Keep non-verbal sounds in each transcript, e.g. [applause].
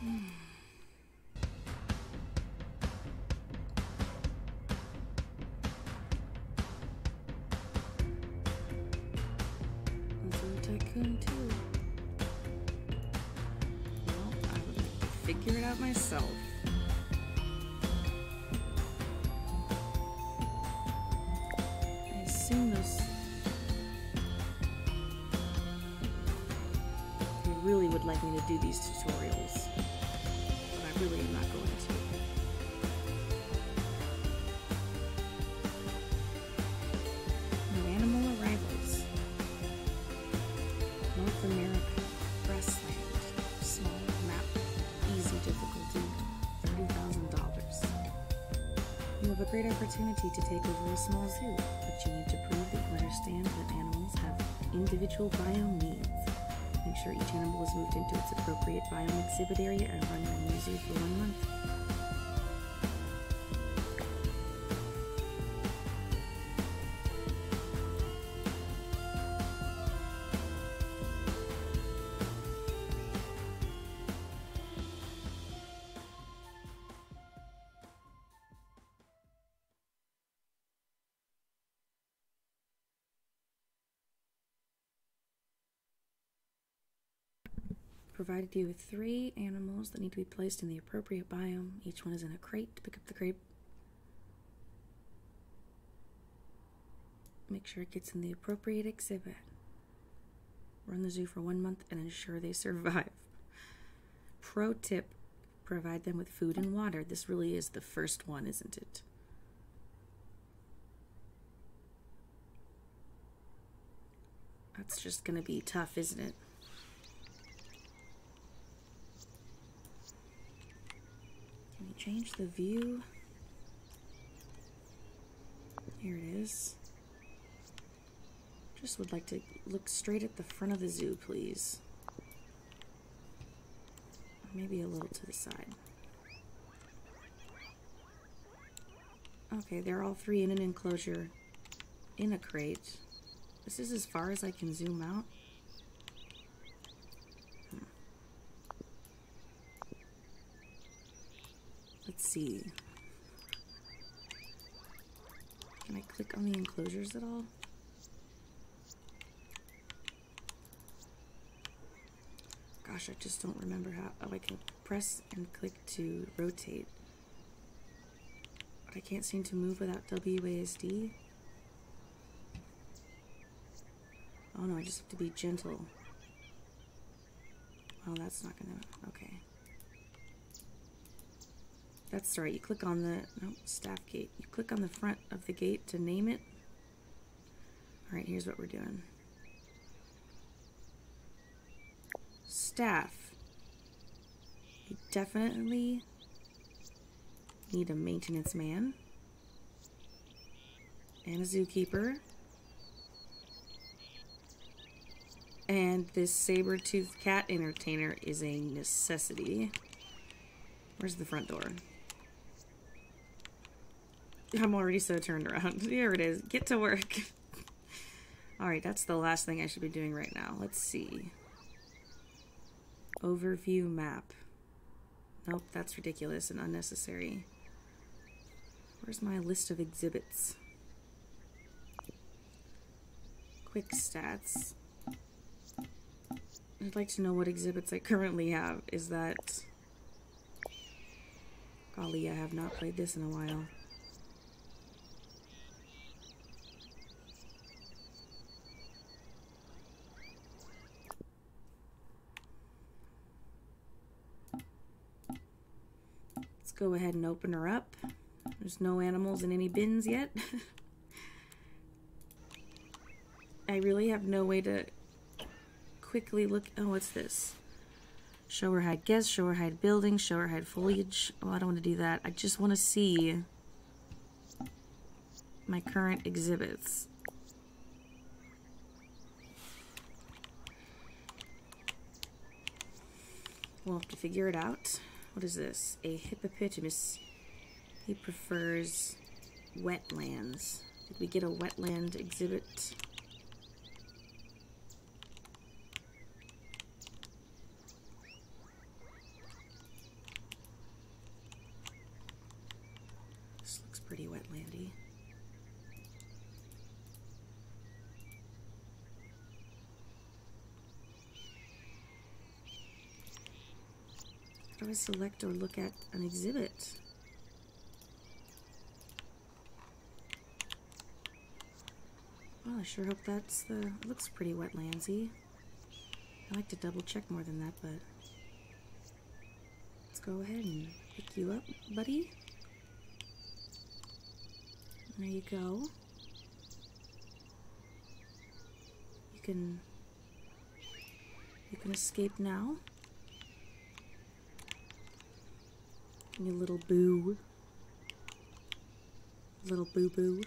Hmm. Tycoon too. Well, I would like to figure it out myself. I've really would like me to do these tutorials, but I really am not going to. North America, grassland. Small map. Easy difficulty. $30,000. You have a great opportunity to take over a small zoo, but you need to prove that you understand that animals have individual biome needs. Make sure each animal is moved into its appropriate biome exhibit area and run your new zoo for one month provided you with three animals that need to be placed in the appropriate biome. Each one is in a crate to pick up the crate. Make sure it gets in the appropriate exhibit. Run the zoo for one month and ensure they [laughs] survive. Pro tip provide them with food and water. This really is the first one, isn't it? That's just going to be tough, isn't it? Can we change the view? Here it is. Just would like to look straight at the front of the zoo, please. Maybe a little to the side. Okay, they're all three in an enclosure in a crate. This is as far as I can zoom out. Hmm. Let's see. Can I click on the enclosures at all? Gosh, I just don't remember how. Oh, I can press and click to rotate. But I can't seem to move without WASD. Oh no, I just have to be gentle. Oh, that's not gonna, okay. That's right, you click on the, staff gate. You click on the front of the gate to name it. All right, here's what we're doing. Staff. You definitely need a maintenance man and a zookeeper. And this saber-toothed cat entertainer is a necessity. Where's the front door? I'm already so turned around. [laughs] Here it is. Get to work. [laughs] Alright, that's the last thing I should be doing right now. Let's see. Overview map. Nope, that's ridiculous and unnecessary. Where's my list of exhibits? Quick stats. I'd like to know what exhibits I currently have. Is that... Golly, I have not played this in a while. Let's go ahead and open her up. There's no animals in any bins yet. [laughs] I really have no way to quickly look. Oh, what's this? Show her hide guests, show her hide buildings, show her hide foliage. Oh, I don't want to do that. I just want to see my current exhibits. We'll have to figure it out. What is this? A hippopotamus. He prefers wetlands. Did we get a wetland exhibit? This looks pretty wet, Landy. do I select or look at an exhibit? Well, I sure hope that's the... looks pretty wet, Landy. I like to double check more than that, but let's go ahead and pick you up, buddy. There you go. You can you can escape now. Your little boo. Little boo-boo. What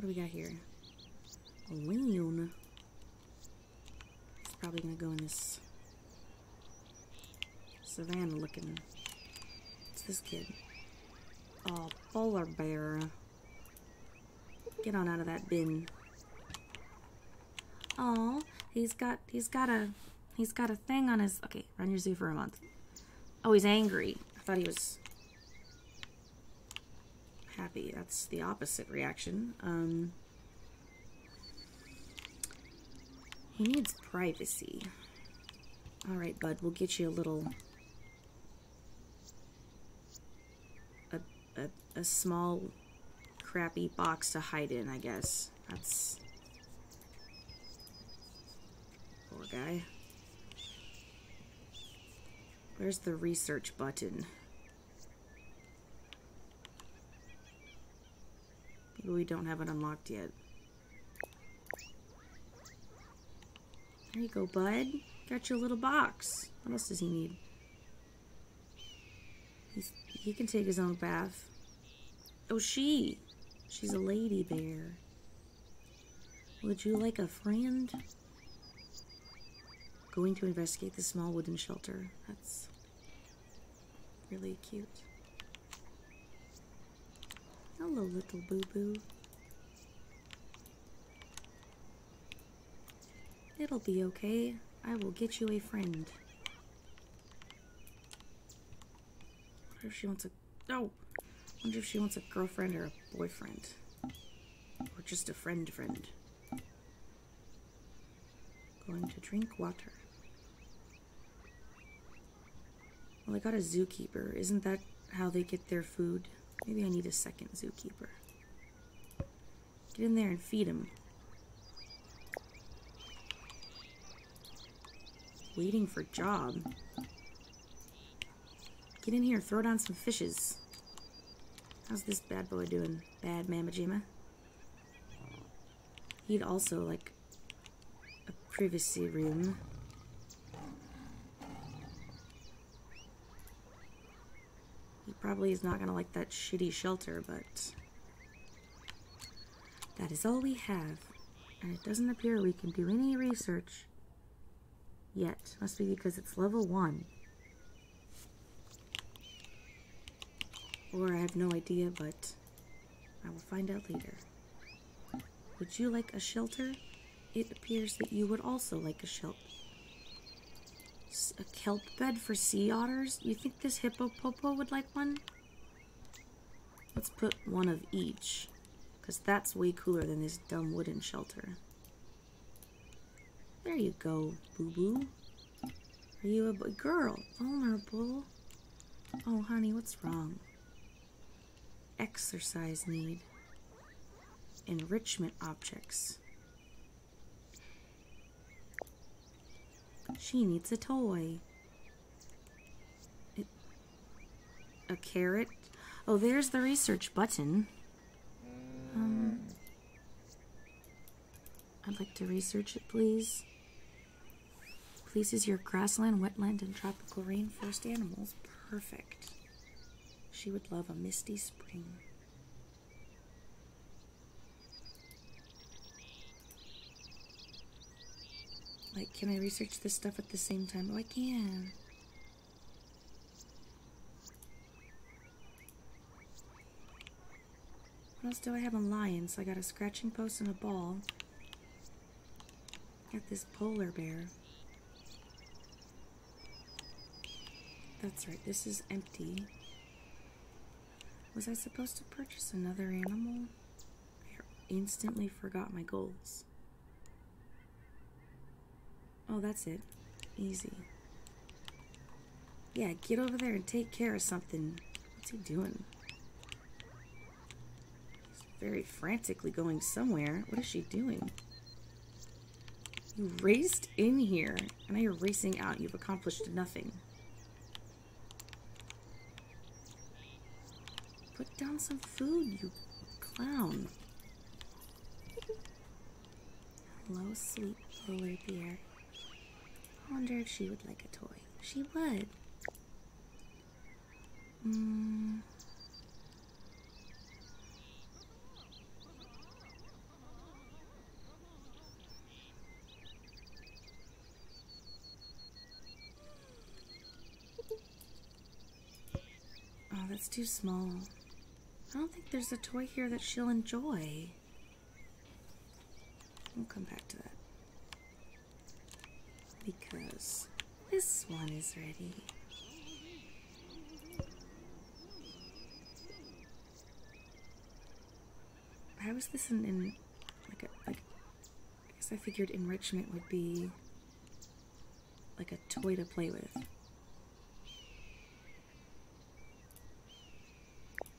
do we got here? A loon. It's probably going to go in this savannah looking. What's this kid? Oh, polar bear. Get on out of that bin. Oh, he's got he's got a he's got a thing on his okay, run your zoo for a month. Oh, he's angry. I thought he was happy. That's the opposite reaction. Um, he needs privacy. All right, bud, we'll get you a little... A, a small, crappy box to hide in, I guess. That's... Poor guy. Where's the research button? we don't have it unlocked yet. There you go, bud. Got your little box. What else does he need? he can take his own bath. Oh, she. She's a lady bear. Would you like a friend? Going to investigate the small wooden shelter. That's really cute. Hello, little boo boo. It'll be okay. I will get you a friend. Wonder if she wants a no. Wonder if she wants a girlfriend or a boyfriend, or just a friend friend. Going to drink water. Well, I got a zookeeper. Isn't that how they get their food? Maybe I need a second zookeeper. Get in there and feed him. Waiting for job. Get in here, throw down some fishes. How's this bad boy doing, bad Mamajima? He'd also like a privacy room. He probably is not gonna like that shitty shelter, but that is all we have. And it doesn't appear we can do any research yet. Must be because it's level one. Or I have no idea, but I will find out later. Would you like a shelter? It appears that you would also like a shelter. A kelp bed for sea otters? You think this hippopopo would like one? Let's put one of each, because that's way cooler than this dumb wooden shelter. There you go, boo-boo. Are you a girl? Vulnerable. Oh, honey, what's wrong? Exercise need. Enrichment objects. She needs a toy. a carrot? Oh, there's the research button. Um, I'd like to research it, please. Pleases your grassland, wetland, and tropical rainforest animals. Perfect. She would love a misty spring. Like, can I research this stuff at the same time? Oh, I can. What else do I have on lions? I got a scratching post and a ball. Got this polar bear. That's right, this is empty. Was I supposed to purchase another animal? I instantly forgot my goals. Oh, that's it. Easy. Yeah, get over there and take care of something. What's he doing? He's very frantically going somewhere. What is she doing? You raced in here, and now you're racing out. You've accomplished nothing. Put down some food, you clown low sleep roller beer. I wonder if she would like a toy. She would. Mm. Oh, that's too small. I don't think there's a toy here that she'll enjoy. We'll come back to that. Because this one is ready. I was an in like a like I guess I figured enrichment would be like a toy to play with.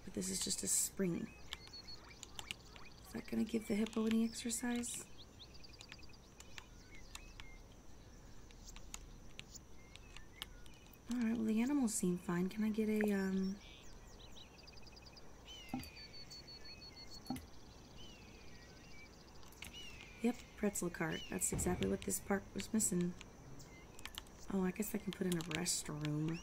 But this is just a spring. Is that going to give the hippo any exercise? Alright, well the animals seem fine. Can I get a, um... Yep, pretzel cart. That's exactly what this park was missing. Oh, I guess I can put in a restroom.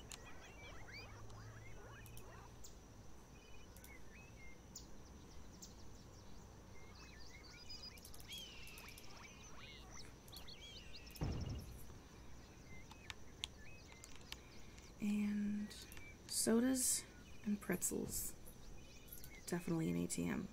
And sodas and pretzels. Definitely an ATM. [laughs]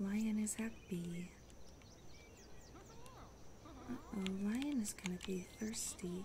Lion is happy. Uh oh, lion is gonna be thirsty.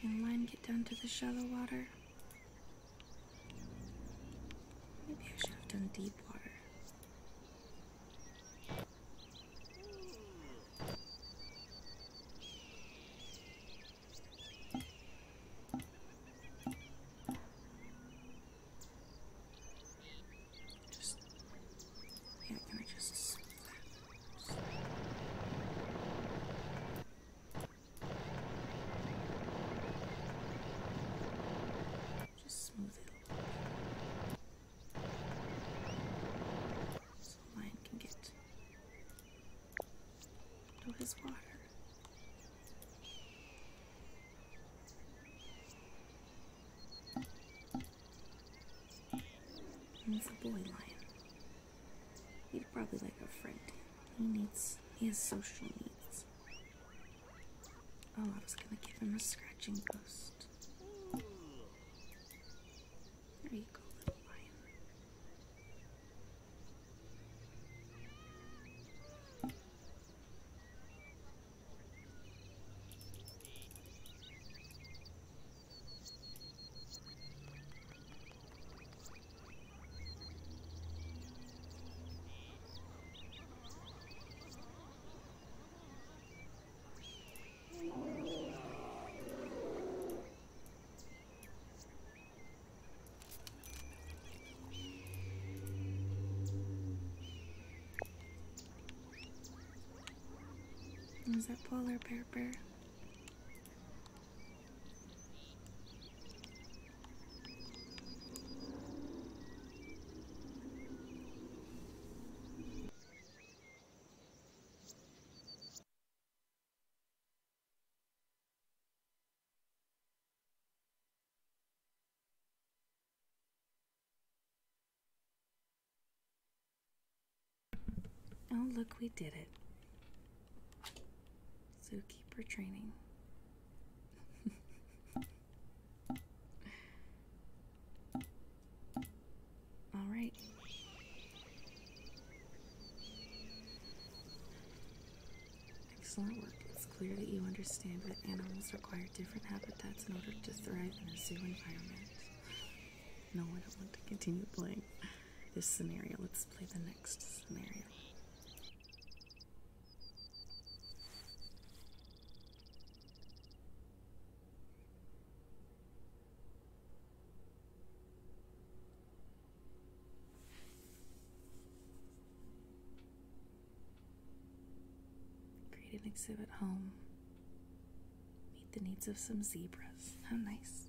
Can line get down to the shallow water? Maybe I should have done deep water. Just smooth it a little bit. So mine can get to his water. And it's a boy lion. He'd probably like a friend. He needs, he has social needs. Oh, I was gonna give him a scratching post. There you go, is that polar bear bear? Oh, look, we did it. Zookeeper training. [laughs] All right. Excellent work. It's clear that you understand that animals require different habitats in order to thrive in a zoo environment. No, I don't want to continue playing this scenario. Let's play the next scenario. Create an exhibit home. Meet the needs of some zebras. How nice.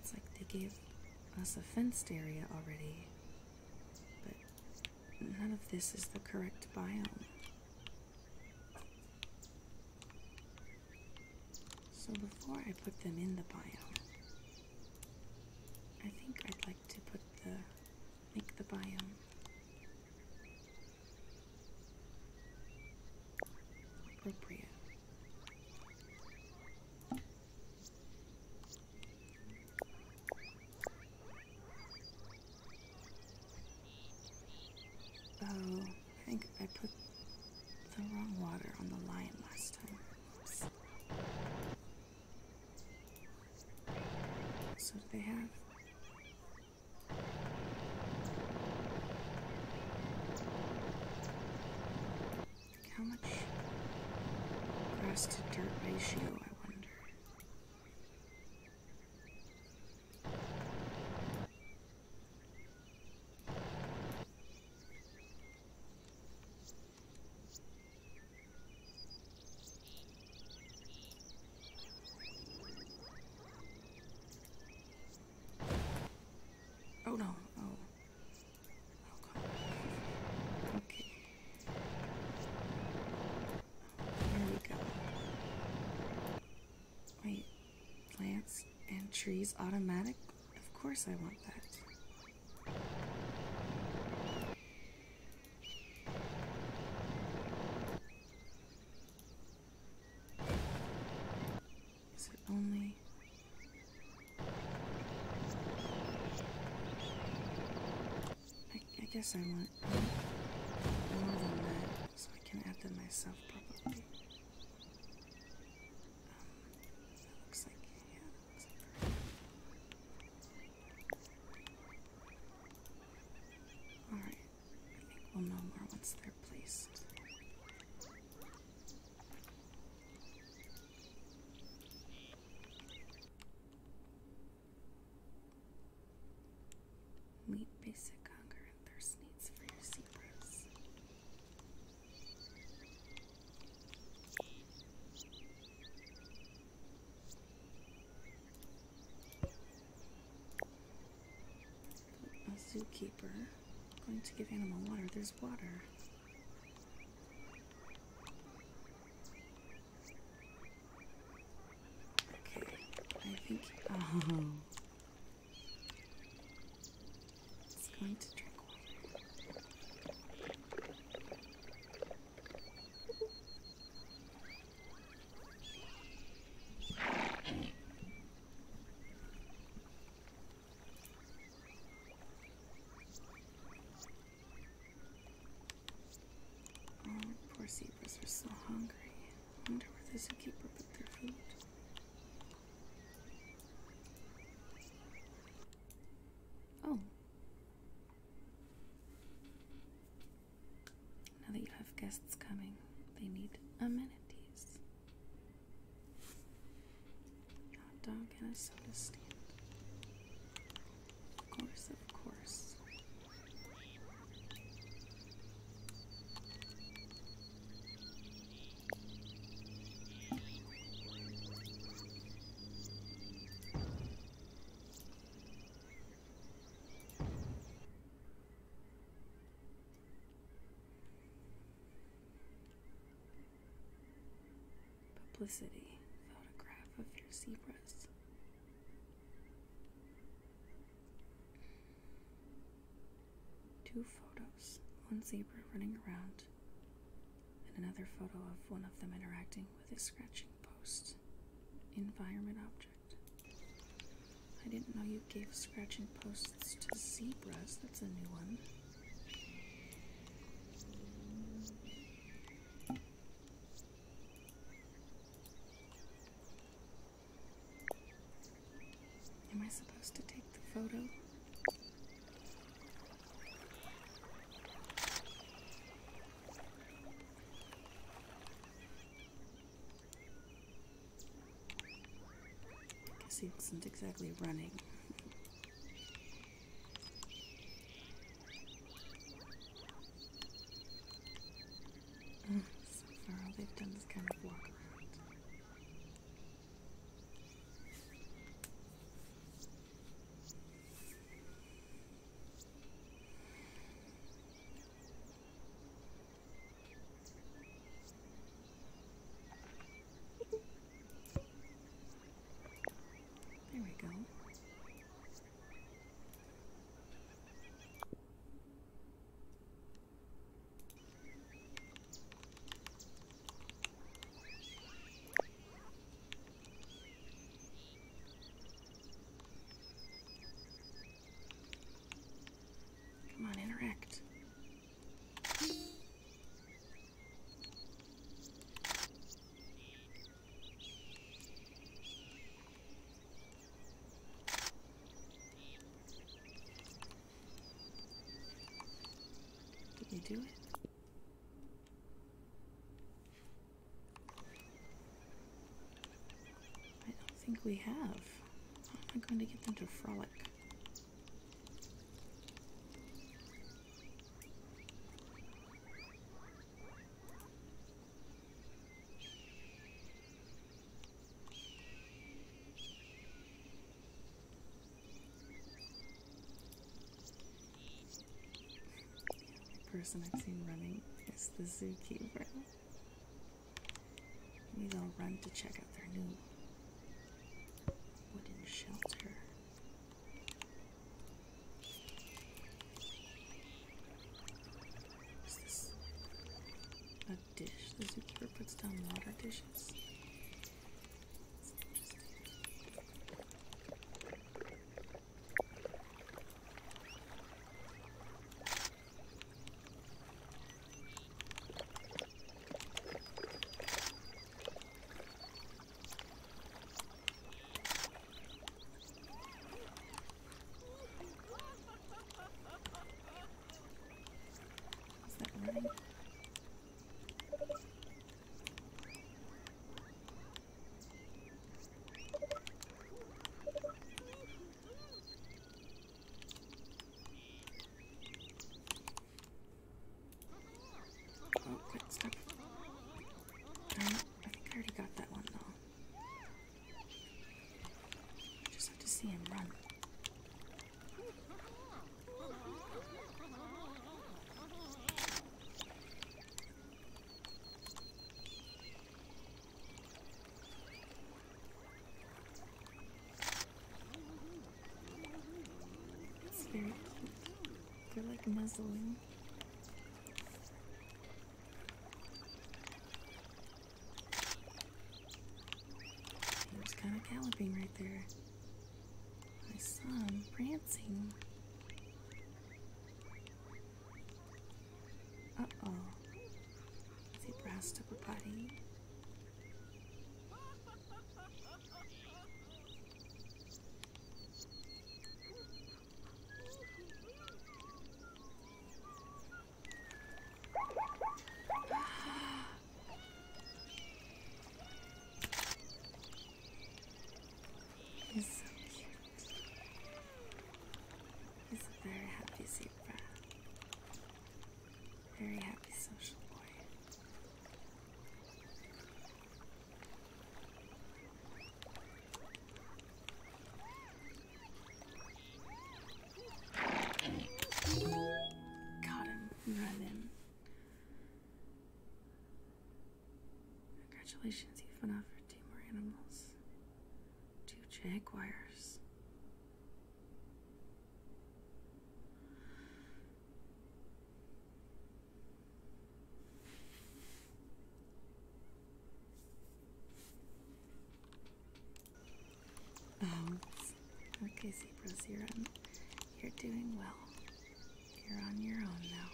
It's like they gave us a fenced area already, but none of this is the correct biome. So before I put them in the biome, I think I'd like to put the make the biome appropriate. Oh, I think I put the wrong water on the lion last time. So do they have how much grass to dirt ratio I wonder. Oh no, oh. Oh god. Okay. There we go. Wait, Plants and trees automatic? Of course I want that. Is it only I, guess I want more than that. I can add them myself probably. Um, all right, we'll know more once they're placed. Meet basic hunger and thirst needs for your zebras. A zookeeper going to give animal water. There's water. Okay, I think. Uh-huh. It's going to drink water. Oh, poor zebras are so hungry. I wonder where the zookeeper put their food. Oh. Now that you have guests coming, they need amenities. Hot dog and a soda stand. Of course, of course. Publicity photograph of your zebras. Two photos one zebra running around, and another photo of one of them interacting with a scratching post. Environment object. I didn't know you gave scratching posts to zebras. That's a new one. Am I supposed to take the photo? I guess he wasn't exactly running so far all they've done is kind of walk around. There we go. Come on, interact. Did you do it? I don't think we have. How am I going to get them to frolic? The person I've seen running is the zookeeper. Maybe they run to check out their new wooden shelter dish. The zookeeper puts down water dishes. [laughs] Is that right? Oh, good stuff. No, I think I already got that one though. Just have to see him run. It's very cute. They're like nuzzling. He was kind of galloping right there. I saw him prancing. Uh oh. Is he brassed up a body? He's so cute. He's a very happy zebra. Very happy social boy. Got him. Run Congratulations, you've won for two more animals. Two jaguars. Um, okay, Zebra Zerum. You're doing well. You're on your own now.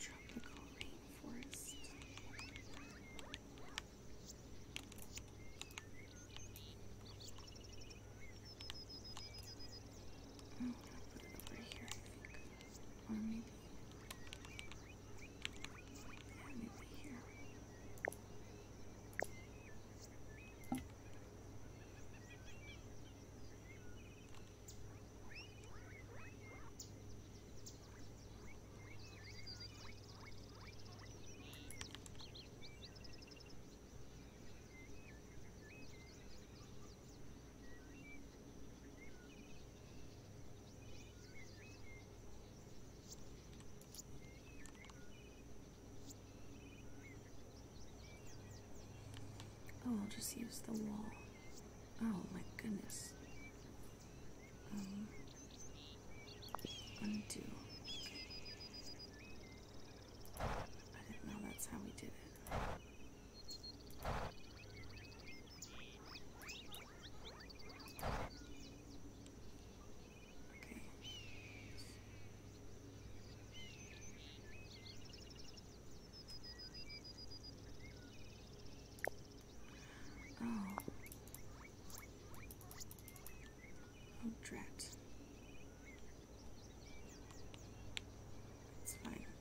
Tropical rainforest. Oh, over here, or maybe. Yeah, maybe here. Oh, I'll just use the wall. Oh my goodness. Um, undo. I didn't know that's how we did it. Oh. Oh, drat. It's fine.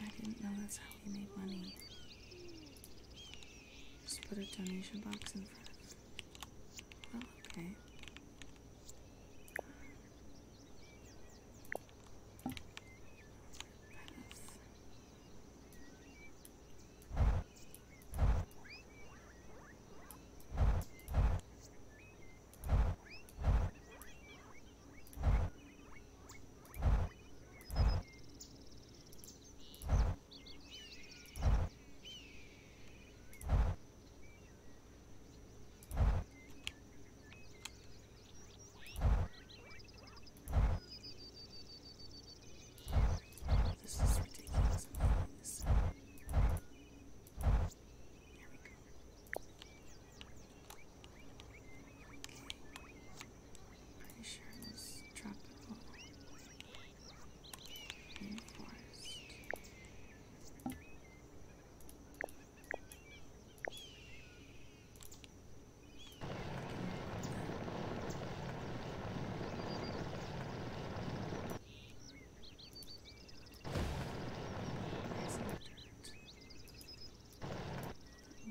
I didn't know that's how we made money. Just put a donation box in front of Well, oh, okay. This is ridiculous. This. Here we go. Pretty sure it was tropical rainforest.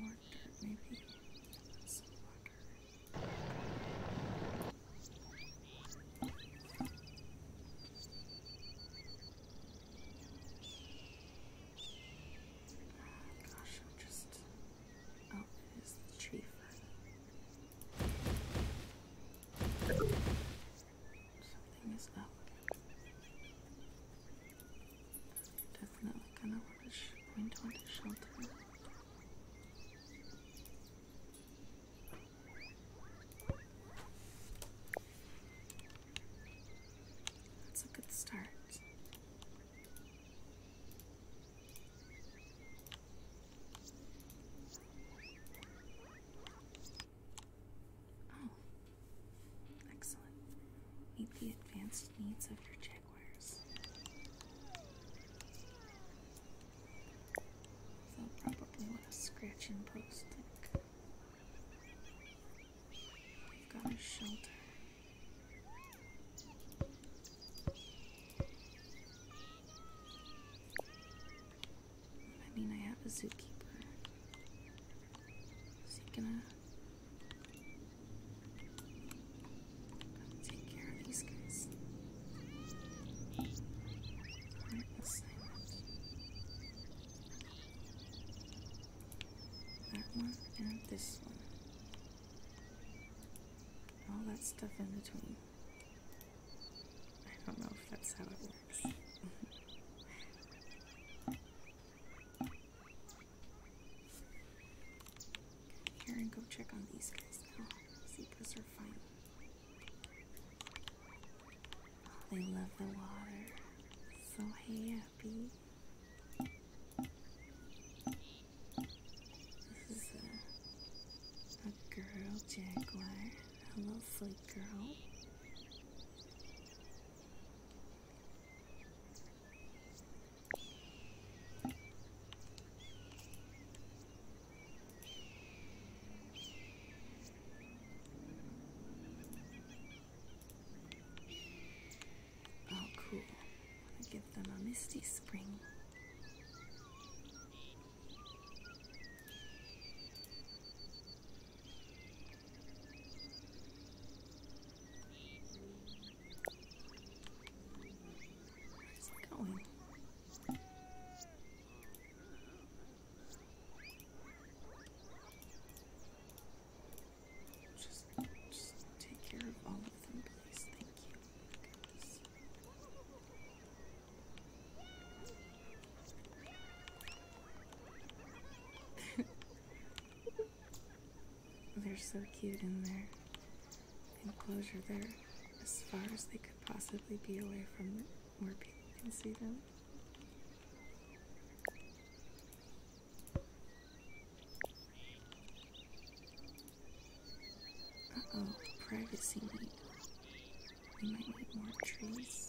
More water, maybe. Some water. Oh, gosh, I'm just. Oh, it is the tree fern. Something is up. Definitely gonna want to point on to shelter. That's a good start. Oh, excellent. Meet the advanced needs of your chick. I'll probably want a scratching post. Like have got a shelter. I mean, I have a zookeeper. Is he gonna take care of these guys. Right, that one and this one. All that stuff in between. I don't know if that's how it works. [laughs] Here and go check on these guys now. Oh, Zebras are fine. Oh, they love the water. So happy. This is a, a girl jaguar. Hello, sweet girl. Oh, cool. I'll give them a misty spring. Where's it going? Just, just take care of all of them, please. Thank you. Goodness. [laughs] They're so cute in their enclosure there, as far as they could possibly be away from where people can see them. Uh oh, privacy need. We might need more trees.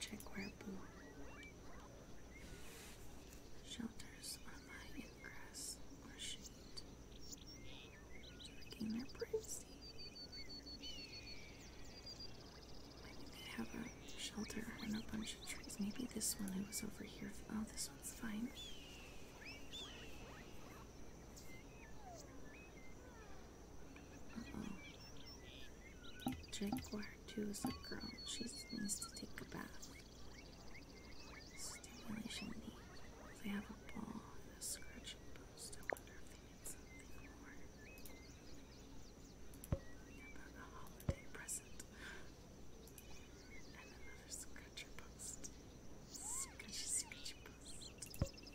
Check where blue shelters are lying in grass or shade to regain their privacy. they have a shelter and a bunch of trees? Maybe this one was over here. Oh, this one's fine. Uh oh. Jaguar too is girl. She needs to take a bath. Stimulation needs. They have a ball a scratching post. I wonder if they need something more. About a holiday present. And another scratcher post. Scratchy, scratchy post.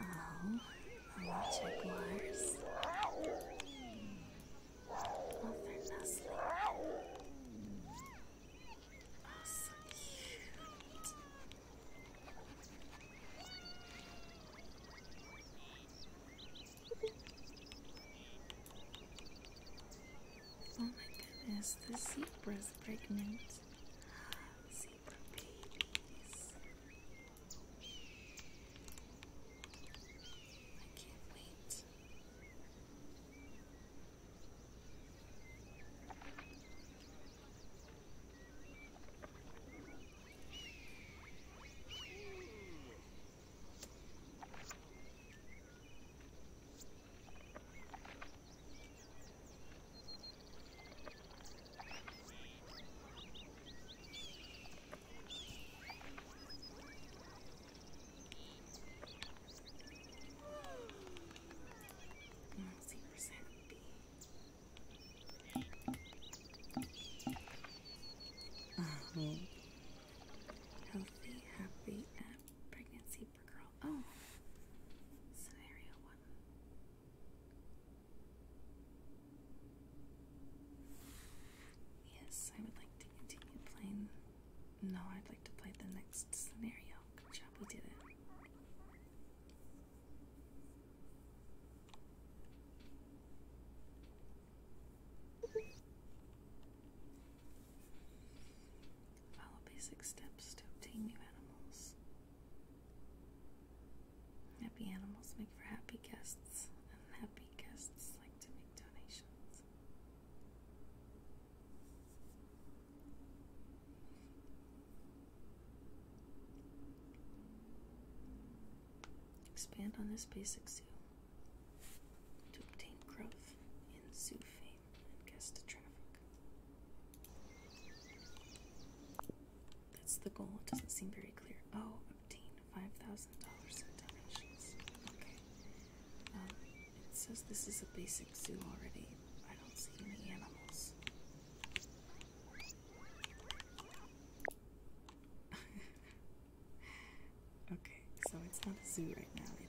Oh, electric wires. Oh, they Oh, so cute. Oh my goodness, the zebra's pregnant zebra, please. I can't wait. Um, healthy, happy, and uh, pregnancy for girl. Oh, scenario one. Yes, I would like to continue playing. No, I'd like to play the next scenario. Good job, we did it. Follow basic steps to obtain new animals. Happy animals make for happy guests, and happy guests like to make donations. Expand on this basic zoo to obtain growth in zoo fame and guest traffic. That's the goal. It doesn't seem very clear. Oh, obtain five thousand dollars in donations. Okay. Um, it says this is a basic zoo already. I don't see any animals. [laughs] okay, so it's not a zoo right now. It's a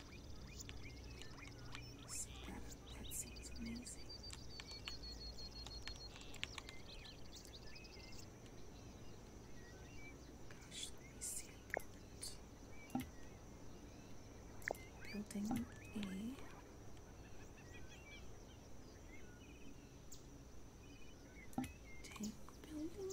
That, that seems amazing. Gosh, let me see a Building A. Tank building.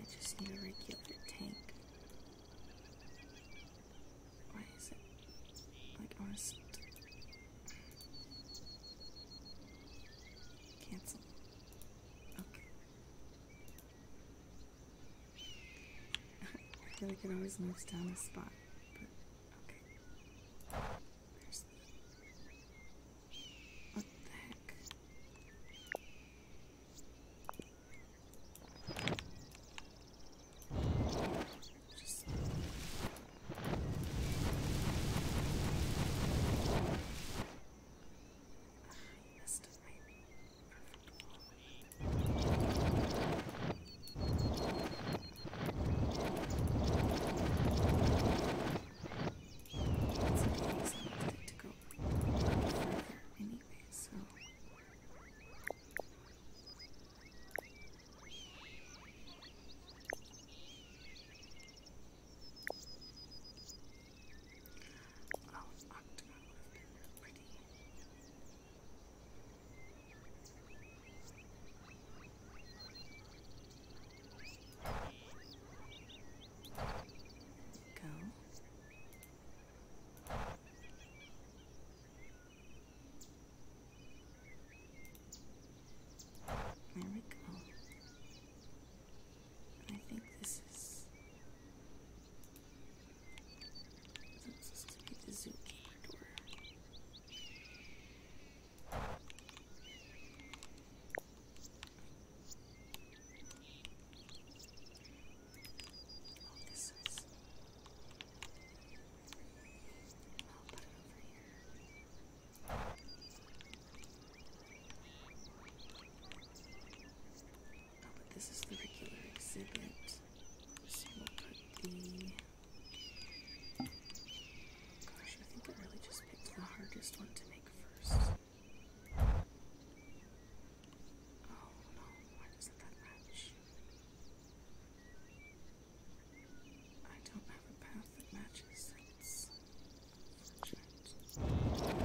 I just need a regular tank. Why is it like honest? Cancel. Okay. [laughs] I feel like it always moves down a spot, okay. What the heck? Just... I messed up my it's amazing to go control. Anyway, so. Oh, Octagon would have been real pretty. Go. There we go. I think this is. This is going to be the zookeeper door this is. I'll put it over here. Oh, but this is the regular exhibit. So we'll put the. Gosh, I think I really just picked the hardest one to make first. Oh no, why doesn't that match? I don't have a path that matches. That's unfortunate.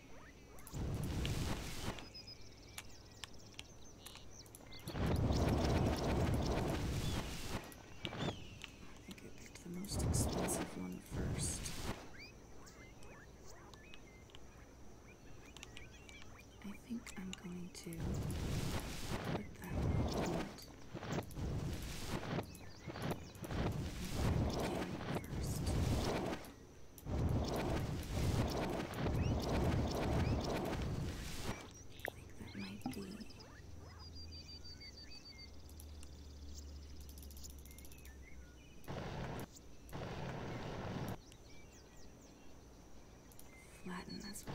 think I picked the most expensive one first. I think I'm going to put that on it. First that might be. Flatten this way.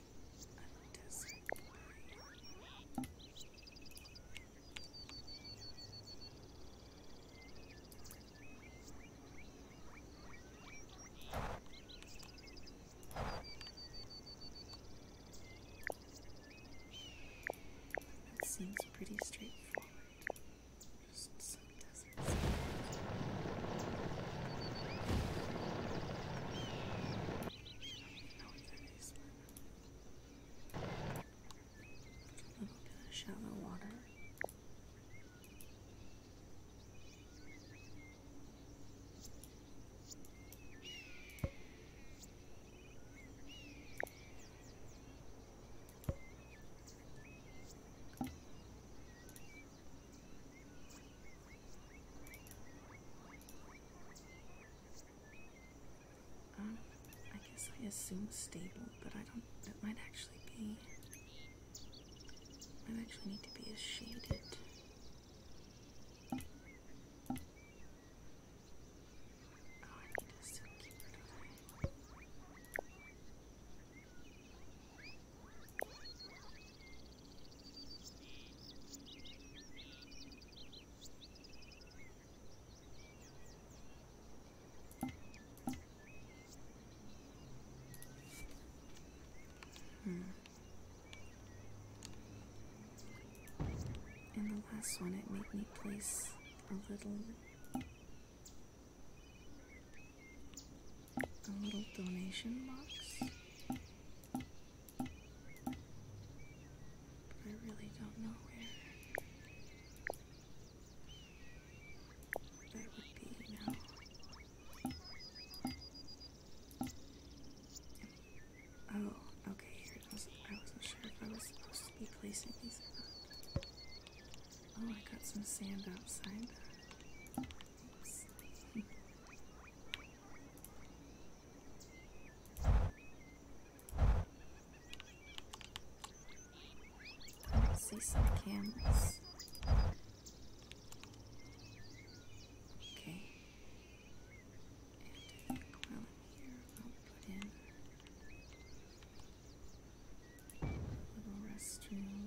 like I like to sleep it seems pretty straightforward. Just so it doesn't seem I don't know what that is, but a little bit of shallow water. Um, I guess I assume stable, but I don't. It might actually be. Might actually need to be a shaded. Oh, I need to still Hmm. And the last one, it made me place a little. A little donation box I really don't know where that would be now. Oh, okay, I wasn't sure if I was supposed to be placing these Oh, I got some sand outside. [laughs] see some cameras. Okay. And uh, well, here I'll put in a little restroom.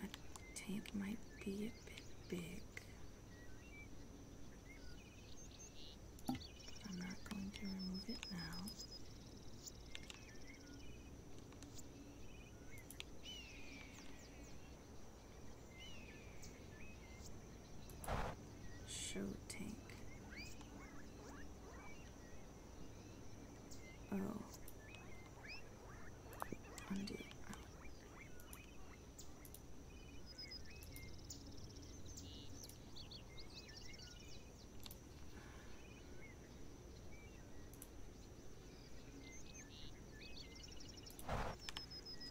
My tape might be a bit big. I'm not going to remove it now. Show tank. Oh, Undo.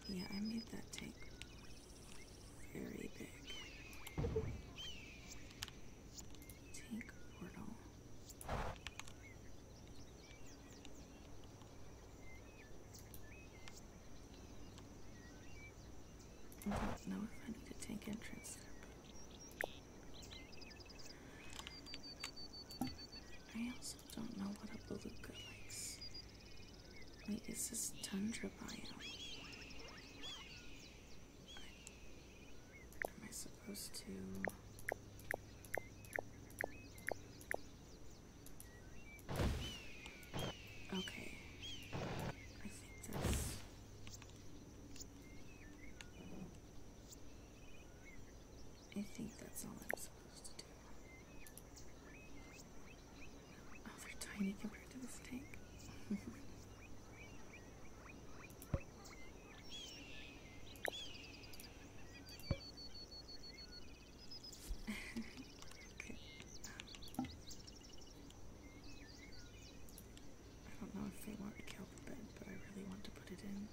Yeah, I made that tank very big. Tank portal. I don't know if I need to take entrance I also don't know what a beluga likes. Wait, is this tundra biome? Am I supposed to? Okay. I think that's. I think that's all I'm supposed to do. Oh, they're tiny compared to this tank. [laughs] I don't know if they want to a the bed, but I really want to put it in.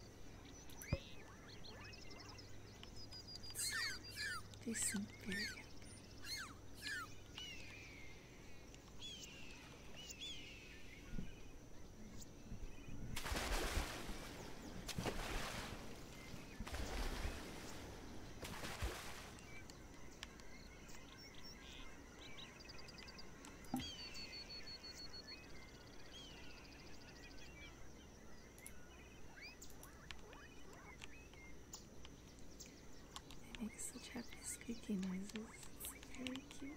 decent period. They make such happy squeaky noises. It's very cute.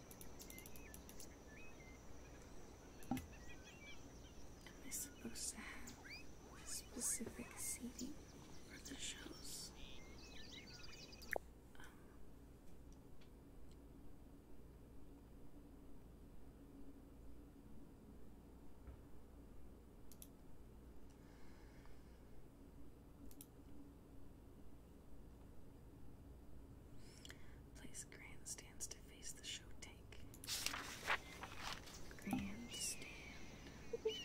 Am I supposed to have specific seating for the shows? Um. Place grandstands to face the show Take Grandstand. Where grandstand?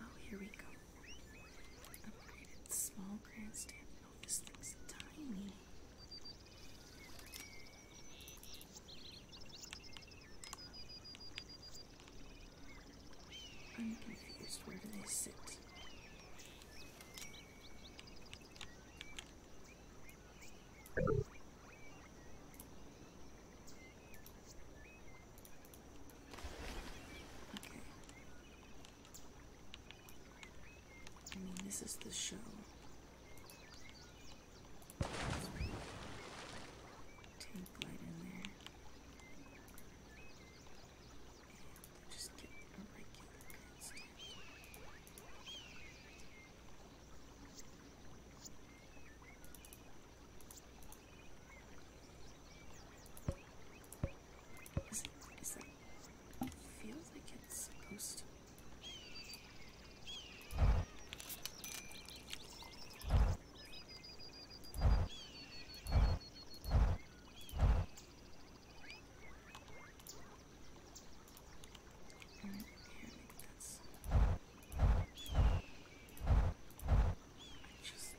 Oh, here we go. Upgraded small grandstand. Oh, this thing's tiny. I'm confused. Where do they sit? Okay. I mean, this is the show. Tank light in there. And just get a regular good stuff. Is it, is that, it feels like it's supposed to. All right, here, I think that's. Just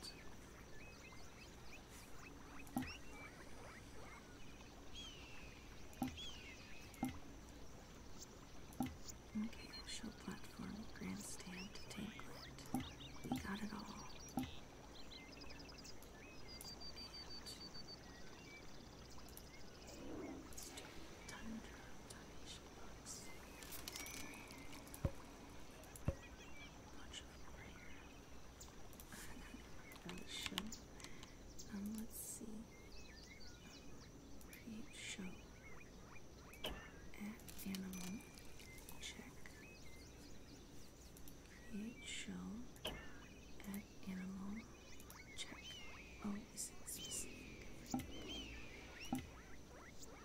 Mechanical platform, grandstand to tanklet. We got it all. And Thunder, uh, Dungeon, box. Much of a prayer. Another show. Um, let's see. Um, create show. Add animal. Check. Create show. Add animal. Check. Oh, is it specific?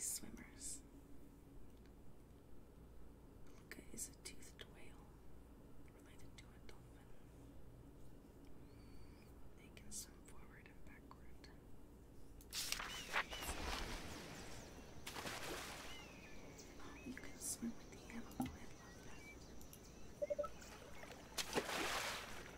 Swimmers. Luca is a toothed whale related to a dolphin. They can swim forward and backward. you can swim with the animal.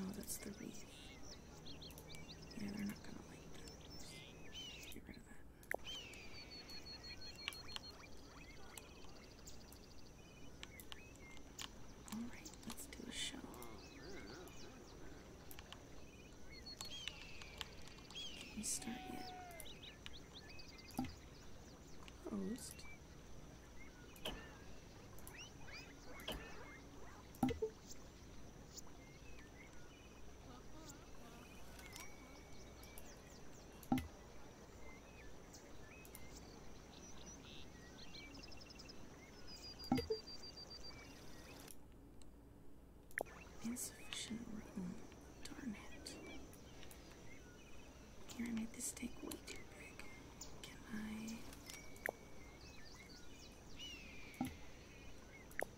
Oh, that's the wreath. Yeah, they're not gonna like that. Get rid of that. Alright, let's do a show. Can we start yet? Closed. Insufficient room. Darn it. Can I make this steak way too big? Can I?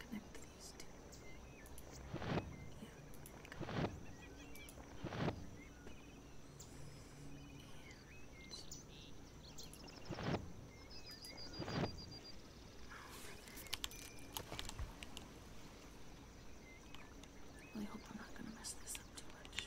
connect these two. Yeah. I really hope I'm not going to mess this up too much.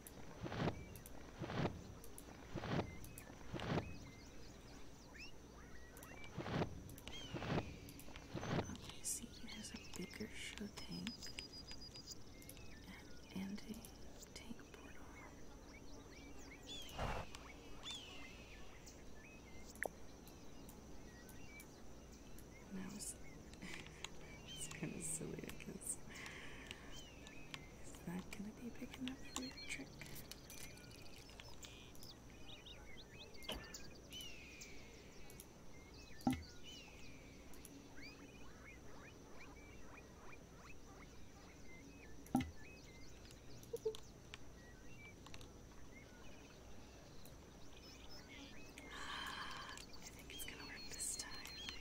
Okay, see, it has a bigger show tank and a tank portal. Now it's, it's kind of silly because is that going to be big enough for your trick? I think it's going to work this time.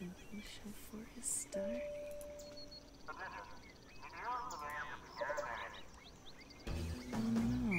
Impatient for his start. Oh no.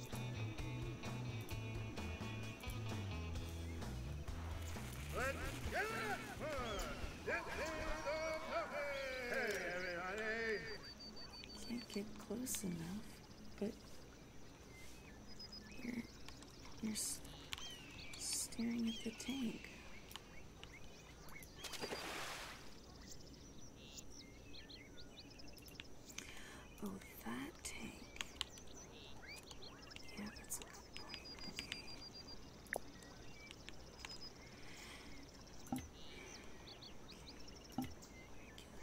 Can't get close enough, but you're you're staring at the tank. Oh, that tank. Yeah, that's a good point. Okay. okay.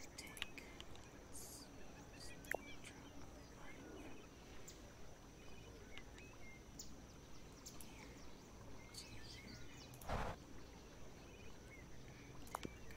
Regular tank. Let's, let's drop here, to here. Okay.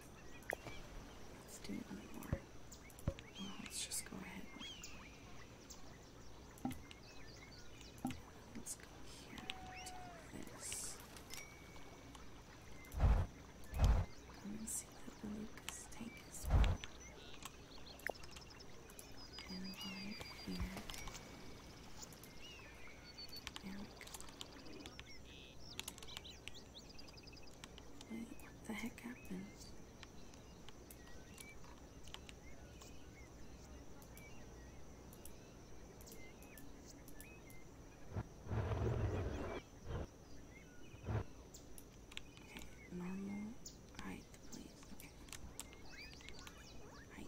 Let's do one more. Well, let's just go ahead. Let's go here. Do this. I'm going to see that the Lucas tank is well. And right here. There we go what the heck happened? Okay, normal height, please. Okay. Height.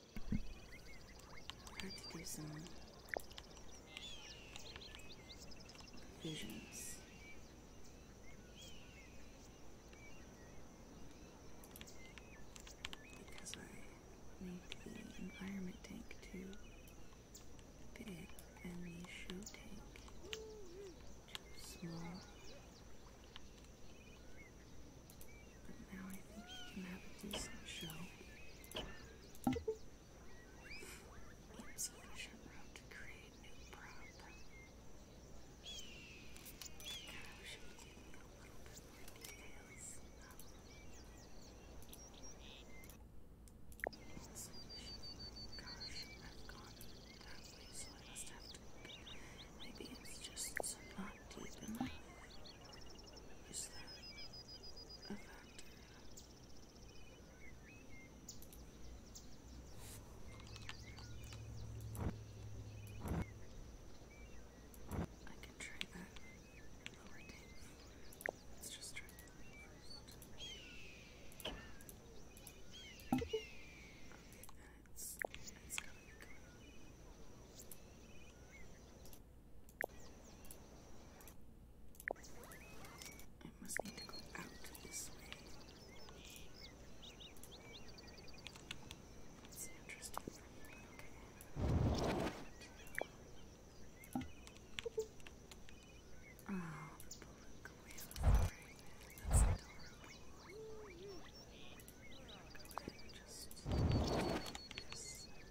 I have to do some visions. Because I need the environment tank too fit and the show tank too small. Now I think you can have a decent show. It's sufficient room to create new prop. Kyle should give me a little bit more details. It's Gosh, I've gone that way, I must have to. Maybe it's just not deep enough. Is that a factor? I can try that lower tape. Let's just try that first. Okay, it's, it's coming. Go. I must need to go out this way. It's interesting for me, okay. Oh, the beluga whale right there. That's adorable. Go ahead and just do this.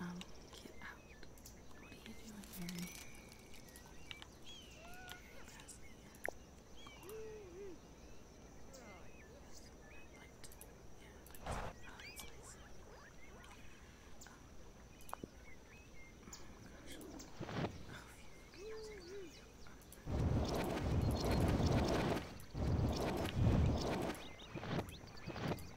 Um, get out. What are you doing, Mary? Thank you.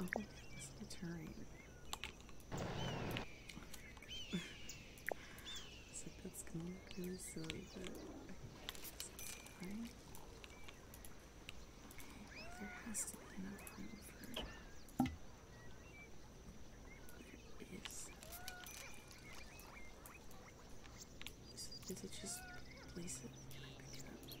Oh, it's the terrain. I was like, that's gonna look really silly, but okay, fine. Okay, there has to be enough room for it. There is. So did it just place it? Can I pick it up?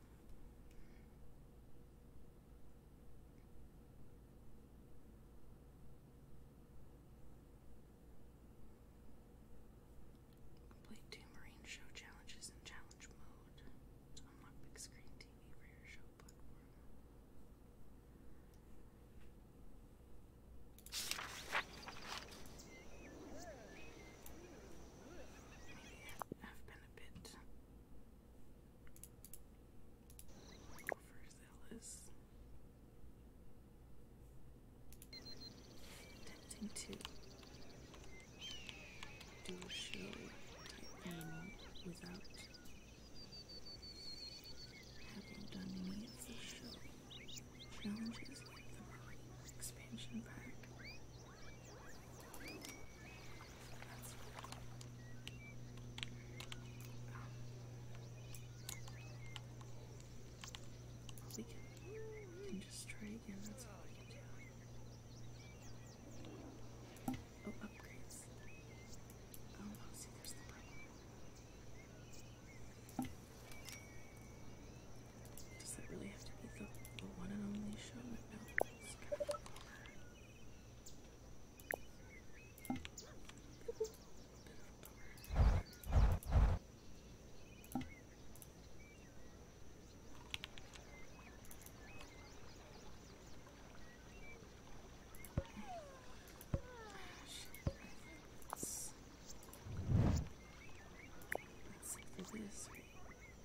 Complete two Marine Show challenges in challenge mode. Unlock big screen TV for your show a bit overzealous. Tempting to do a show type thing without having done any of the show challenges like the expansion pack. We can, we can just try again, that's all we can do. Oh, upgrades. Oh no, see, there's the problem. Does that really have to be the, the one and only show? No, it's kind of a Let's see for this shall be the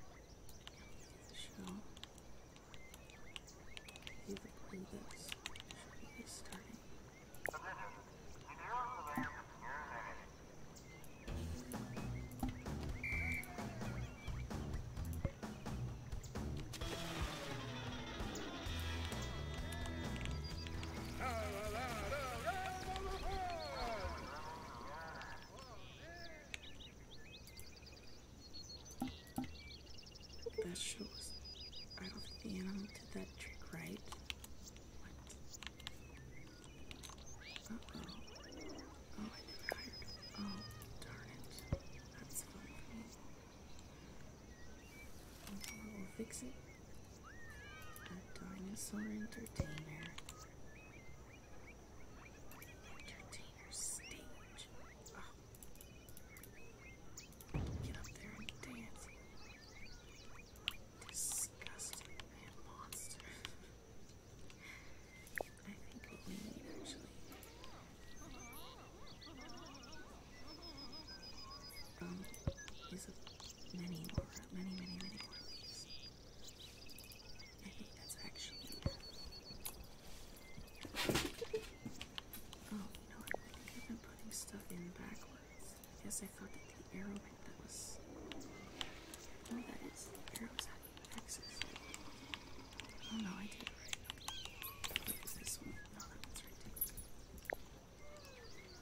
clue that should be starting. That shows. I don't think the animal did that trick right. What? Uh oh. Oh, I Oh, darn it. That's oh, fun We'll fix it. A dinosaur entertainer. Entertainer stage. Oh. Get up there and dance. Disgusting man monster. [laughs] I think we need actually. Um, these are many more, many, many, many more of these. I think that's actually. Oh, you know what? I think I've been putting stuff in backwards. I guess I thought that the arrow meant that was. No, that is. The arrow's at axis. Oh no, I did it right. What is this one? No, that one's right too. There we go.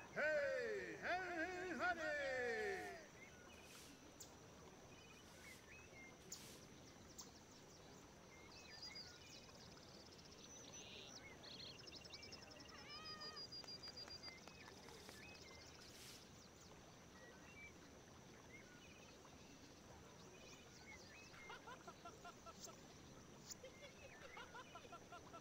Hey, hey, honey! Ha ha ha ha!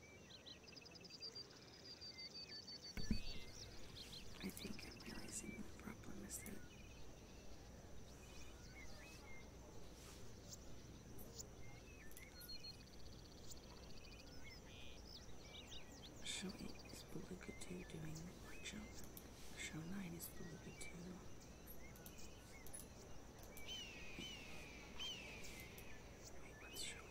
I think I'm realizing the problem is that show 8 is Beluga 2 doing the workshop, show 9 is Beluga 2. what's show 8?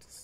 Does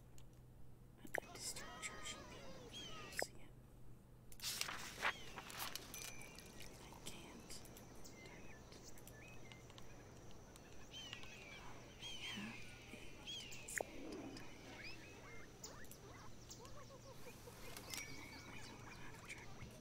I just start charging the see it. I can't. Darn it. I have I don't want to have a track record.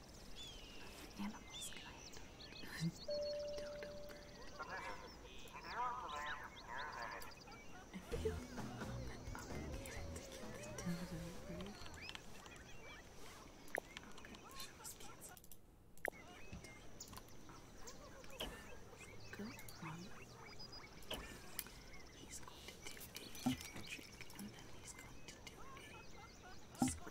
Animals kind of. Dodo bird. I feel a moment obligated to get the dodo bird. Okay, the show is canceled. Good one. He's going to do a trick and then he's going to do a squat.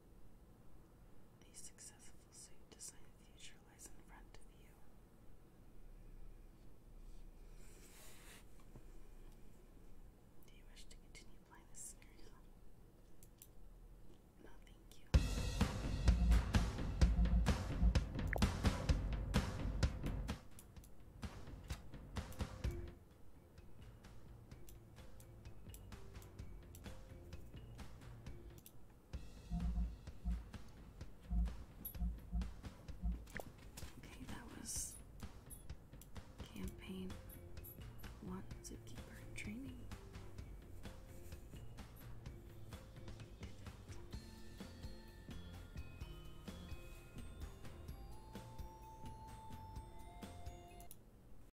The successful suit designed future lies in front of you. Do you wish to continue playing this scenario? No, thank you. Okay, that was campaign one zookeeper training.